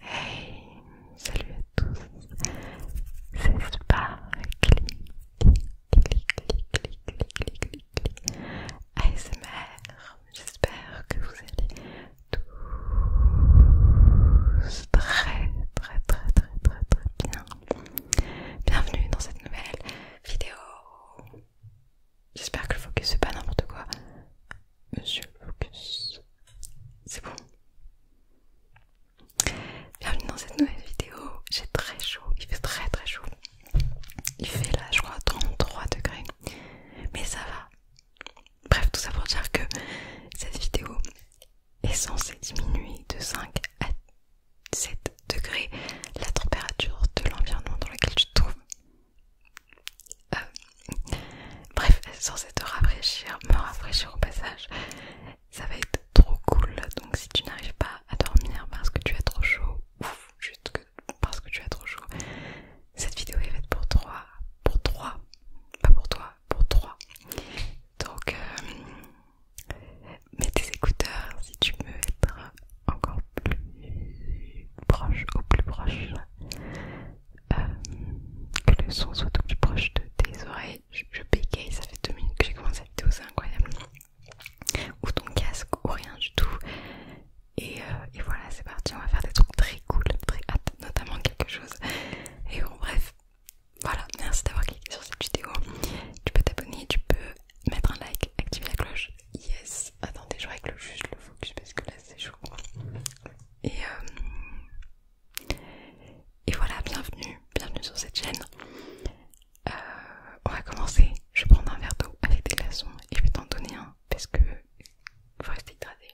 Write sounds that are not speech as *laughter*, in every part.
Hey, salut à tous, c'est Sparkly, ASMR, j'espère que vous allez tous très très très très très bien. Bienvenue dans cette nouvelle vidéo. J'espère que le focus pas n'importe quoi. Monsieur Lucas C'est bon. Bienvenue dans cette nouvelle vidéo. J'ai très chaud, il fait très très chaud. Il fait là, je crois, 33 degrés. Mais ça va. Bref, tout ça pour dire que cette vidéo est censée diminuer de 5 à 7 degrés la température de l'environnement dans lequel tu te trouves. Bref, euh, bref, sans te rafraîchir, me rafraîchir au passage, ça va être trop cool. Donc si tu n'arrives pas à dormir parce que tu as trop chaud, ou juste parce que tu as trop chaud, cette vidéo est faite pour toi, pour trois, pas pour toi, pour trois. Donc euh, mets tes écouteurs si tu veux être encore plus proche, au plus proche euh, que le son soit tout plus proche de tes oreilles. Je, bégaye, ça fait deux minutes que j'ai commencé à te c'est incroyable. Ou ton casque, ou rien du tout. Euh, et, voilà, c'est parti, on va faire des trucs très cool, très hâte, notamment quelque chose. Et bon, bref, voilà, merci d'avoir cliqué sur cette vidéo. Tu peux t'abonner, tu peux mettre un like, activer la cloche. Yes, attendez, je règle juste le focus parce que là c'est chaud. Euh, et, voilà, bienvenue, bienvenue sur cette chaîne. Euh, on va commencer. Je vais prendre un verre d'eau avec des glaçons et je vais t'en donner un parce que vous restez hydraté.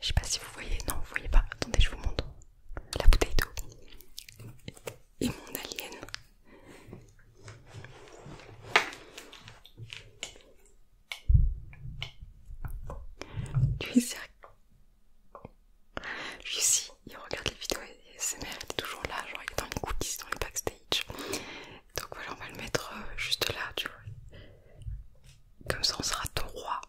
Je sais pas si vous voyez, non, vous voyez pas. Attendez, je vous montre la bouteille d'eau et mon alien. Lui, Lui aussi, il regarde les vidéos et il toujours là, genre il est dans les coulisses, dans les backstage. Donc voilà, on va le mettre euh, juste là, tu vois. Comme ça, on sera droit.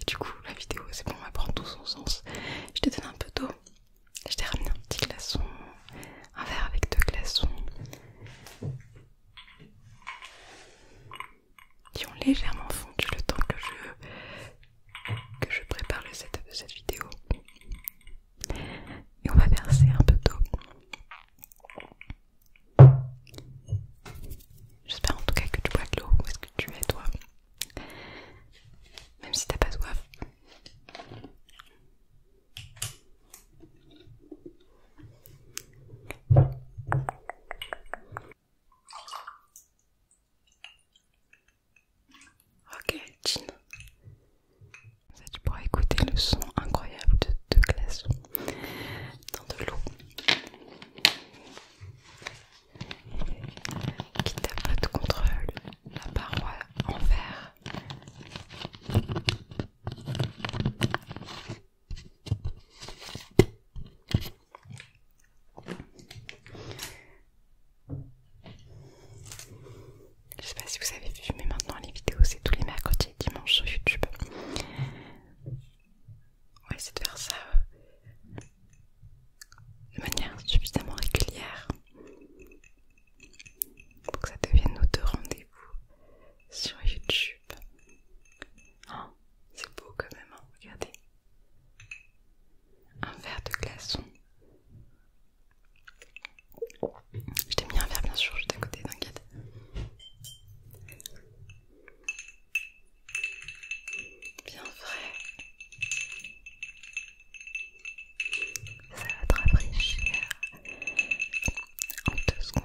Et du coup, la vidéo, c'est bon, va prendre tout son sens. Je te donne un peu d'eau. Je t'ai ramené un petit glaçon, un verre avec deux glaçons qui ont légèrement fondu le temps que je, que je prépare le de cette vidéo. Et on va verser un peu d'eau. J'espère en tout cas que tu bois de l'eau. Où est-ce que tu es toi Même si t'as pas soif. Ok, Jean. Ça, tu pourras écouter le son incroyable de deux glaçons dans de l'eau qui tapote contre la paroi en verre. Je sais pas si vous avez vu, mais maintenant les vidéos c'est tous les mercredis et dimanches sur YouTube. On va essayer de faire ça euh, de manière suffisamment régulière pour que ça devienne nos deux rendez-vous sur YouTube. Oh, c'est beau quand même, hein, regardez. Un verre de glaçon. Je t'ai mis un verre bien sûr juste à côté, t'inquiète. Bien frais. Ça va te rafraîchir en deux secondes.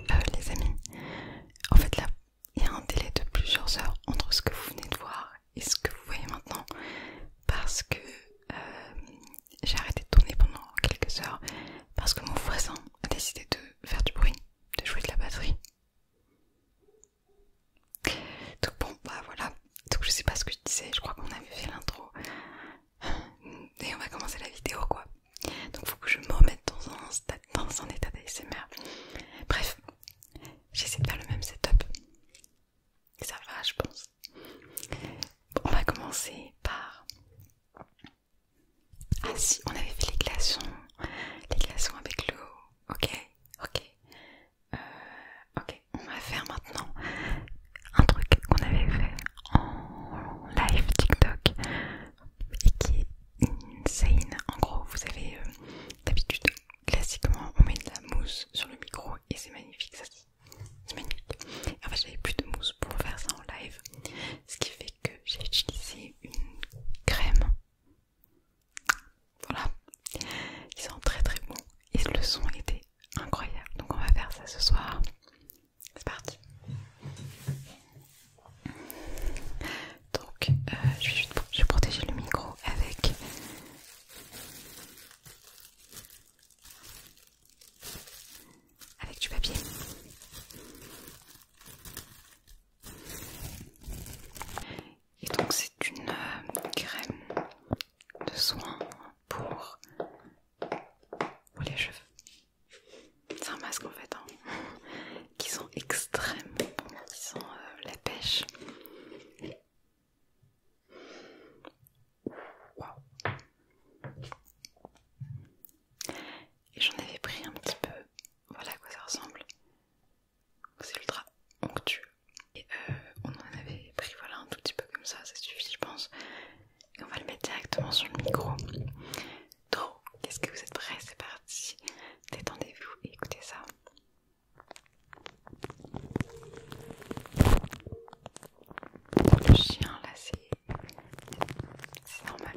Euh, les amis, en fait là, il y a un délai de plusieurs heures entre ce que vous venez de voir et ce que vous voyez maintenant parce que euh, j'ai arrêté de tourner pendant quelques heures parce que mon voisin a décidé de faire du bruit, de jouer de la batterie donc bon bah voilà, donc je sais pas ce que je disais, je crois qu'on avait fait l'intro et on va commencer la vidéo quoi. Donc faut que je me remette dans un, dans état d'ASMR. Bref, j'essaie de faire le même setup. Ça va je pense. Bon, on va commencer par... Ah si, on avait fait les glaçons, les glaçons avec l'eau, ok, ok. Euh, ok, on va faire maintenant un truc qu'on avait fait en live TikTok et qui est insane. En gros, vous avez euh, d'habitude, classiquement, on met de la mousse sur le micro et c'est magnifique, ça c'est magnifique. en fait, j'avais plus de mousse pour faire ça en live, ce qui fait que j'ai utilisé une crème voilà, ils sont très très bons et le son était incroyable. Donc on va faire ça ce soir. C'est parti. Donc euh, je, vais je protéger le micro avec... Avec du papier. Et donc c'est une euh, crème de soin pour, les cheveux. C'est un masque en fait, hein, *laughs* qui sont extrêmement bons, qui euh, la pêche. Et j'en avais pris un petit peu, voilà à quoi ça ressemble c'est ultra onctueux. Et euh, on en avait pris voilà un tout petit peu comme ça, ça suffit je pense. on va le mettre directement sur le micro. Donc, qu'est-ce que vous êtes prêts C'est parti. Détendez-vous et écoutez ça. Le chien là, c'est normal.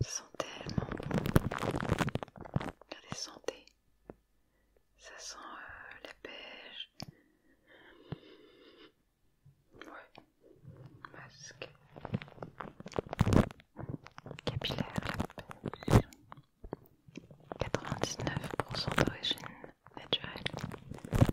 Ça sent tellement bon. Ça sent la pêche. Ouais. Masque. Capillaire, la pêche. 99% d'origine naturelle.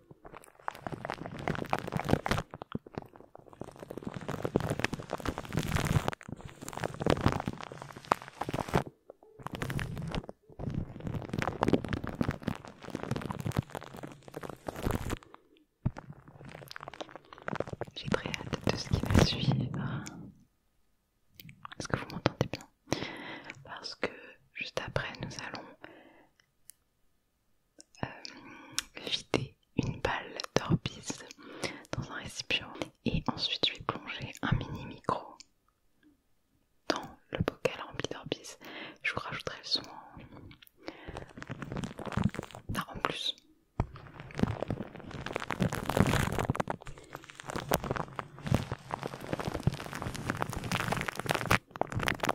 J'ai très hâte de ce qui va suivre. Est-ce que vous m'entendez bien Parce que juste après, nous allons euh, vider une balle d'orbise dans un récipient et ensuite lui plonger un mini micro dans le bocal rempli d'orbiz Je vous rajouterai le son en ah, plus.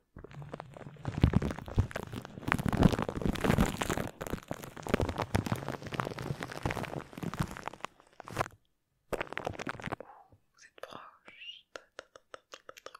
Vous êtes proche, très très très très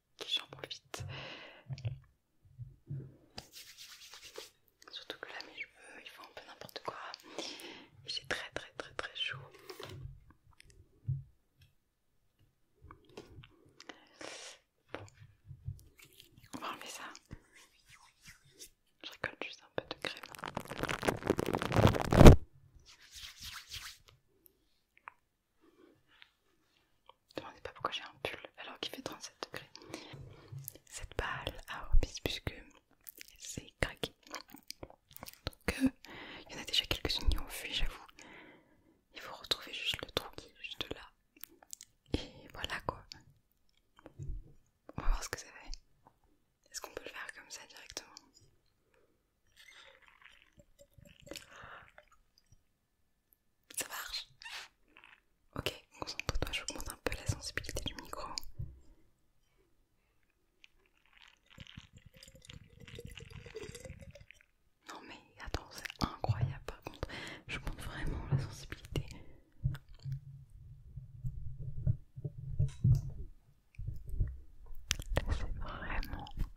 j'en vite, Surtout que là, mes cheveux, ils font un peu n'importe quoi. Et j'ai très, très, très, très chaud. on va enlever ça. Je récolte juste un peu de crème. Demandez pas pourquoi j'ai un pull alors qu'il fait 37 degrés. Cette balle a à puisque c'est craqué. Donc euh, il y en a déjà quelques-unes qui ont fui, j'avoue. Il faut retrouver juste le trou qui est juste là. Et voilà quoi. On va voir ce que ça fait. Est-ce qu'on peut le faire comme ça directement ça marche Ok, concentre-toi, monte un peu la sensibilité du micro. Non mais attends, c'est incroyable par contre, je monte vraiment la sensibilité. c'est vraiment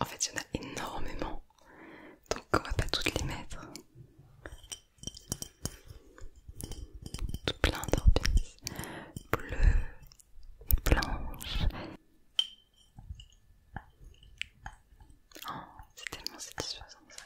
En fait, il y en a énormément, donc on va pas toutes les mettre. Tout plein d'orpines Bleu, et blanches. Oh, c'est tellement satisfaisant ça.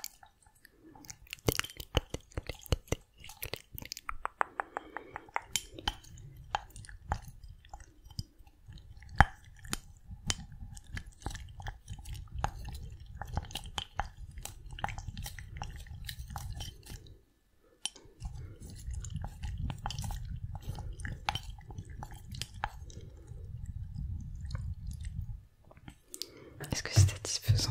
Est-ce que c'est satisfaisant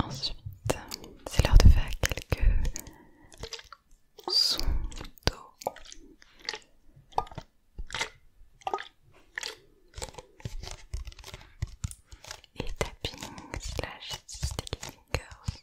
Ensuite, c'est l'heure de faire quelques sons d'eau et tapping slash sticky fingers.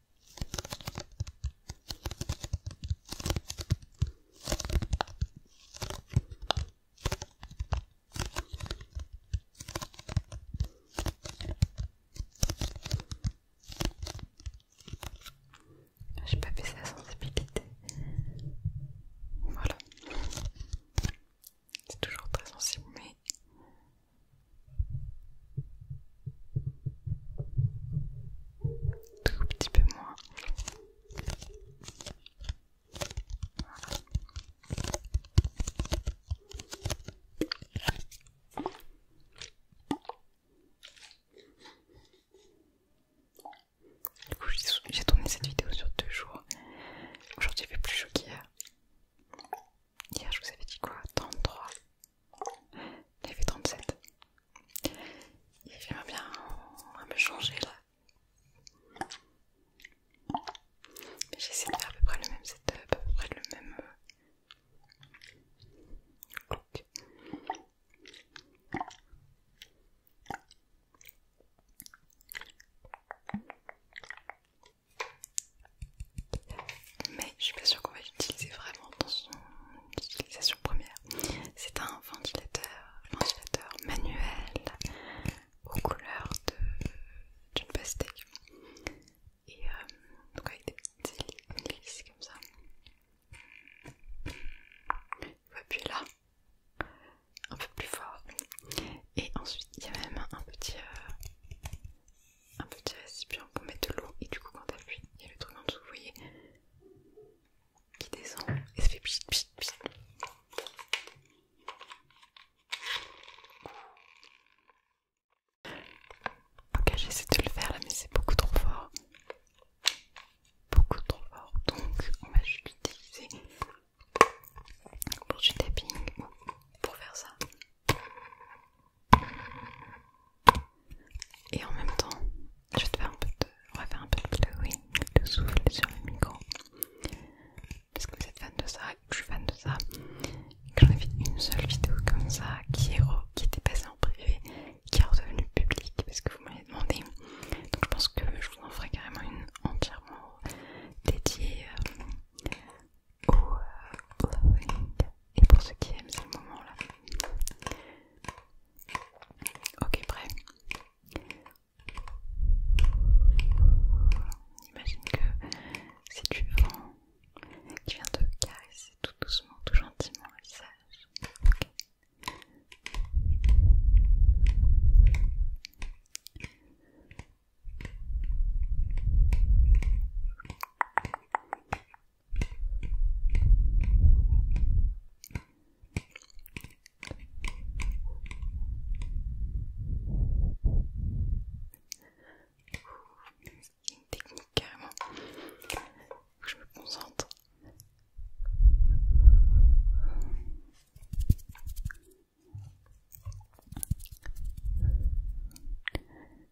J'ai pas baissé la sensibilité. Voilà. C'est toujours très sensible, mais tout petit peu moins. Voilà. Du coup, j'ai tourné cette vidéo sur deux jours. Aujourd'hui, il fait plus chaud qu'hier. Hier, je vous avais dit quoi 33 j'ai fait 37. Et j'aimerais bien me changer là. J'essaie de faire à peu près le même setup, à peu près le même euh, look mais je suis pas sûre qu'on va l'utiliser vraiment dans son utilisation première. C'est un ventilateur, ventilateur manuel aux couleurs d'une pastèque et euh, donc avec des petites comme ça. On va appuyer là, un peu plus fort, et ensuite il y a même un petit, euh, un petit récipient pour mettre de l'eau et du coup quand t'appuies, il y a le truc en dessous, vous voyez, qui descend et ça fait pchit pchit pchit. Ok, j'essaie de le faire là, mais c'est beaucoup trop fort. Beaucoup trop fort. Donc, on va juste utiliser pour du tapping pour faire ça. Et en même temps, je vais te faire un peu de... On va faire un peu de blowing, de souffle sur le micro. Parce que vous êtes fan de ça, je suis fan de ça. Et que j'en ai fait une seule vidéo comme ça, qui, est était passée en privé, qui est redevenue publique, parce que vous m'avez demandé. Donc je pense que je vous en ferai carrément une entièrement dédiée euh, au blowing. Euh, et pour ceux qui aiment, ce moment là. Ok, prêt. Imagine que si tu vends, tu viens te caresser tout doucement, tout gentiment le visage une technique carrément. je me concentre.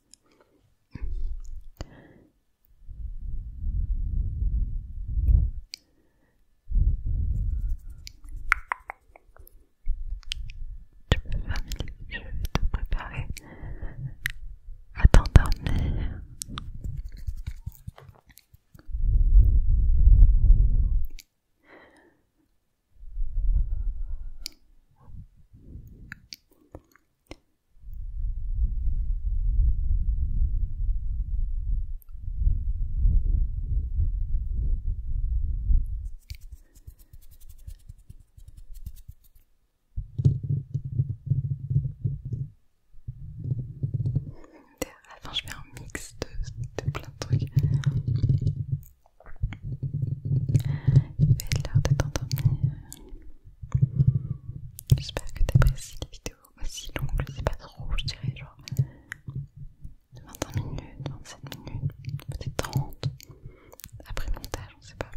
Tu peux faire je vais te préparer à t'endormir enfin je fais un mix de, plein de trucs. Il va être l'heure de t'endormir. J'espère que t'apprécies les vidéos aussi longues, je sais pas trop, je dirais genre 25 minutes, 27 minutes, peut-être 30 après montage, on sait pas.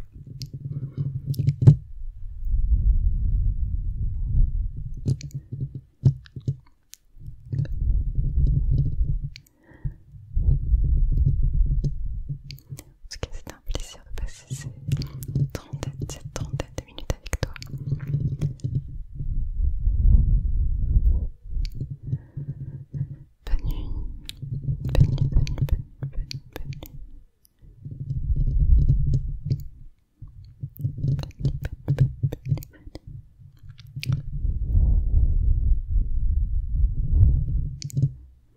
En tout cas, un plaisir de passer ces 30, cette trentaine de minutes avec toi. Bonne bonne nuit, bonne nuit, bonne nuit, bonne nuit, bonne nuit. Bonne nuit, bonne nuit, bonne nuit, bonne nuit.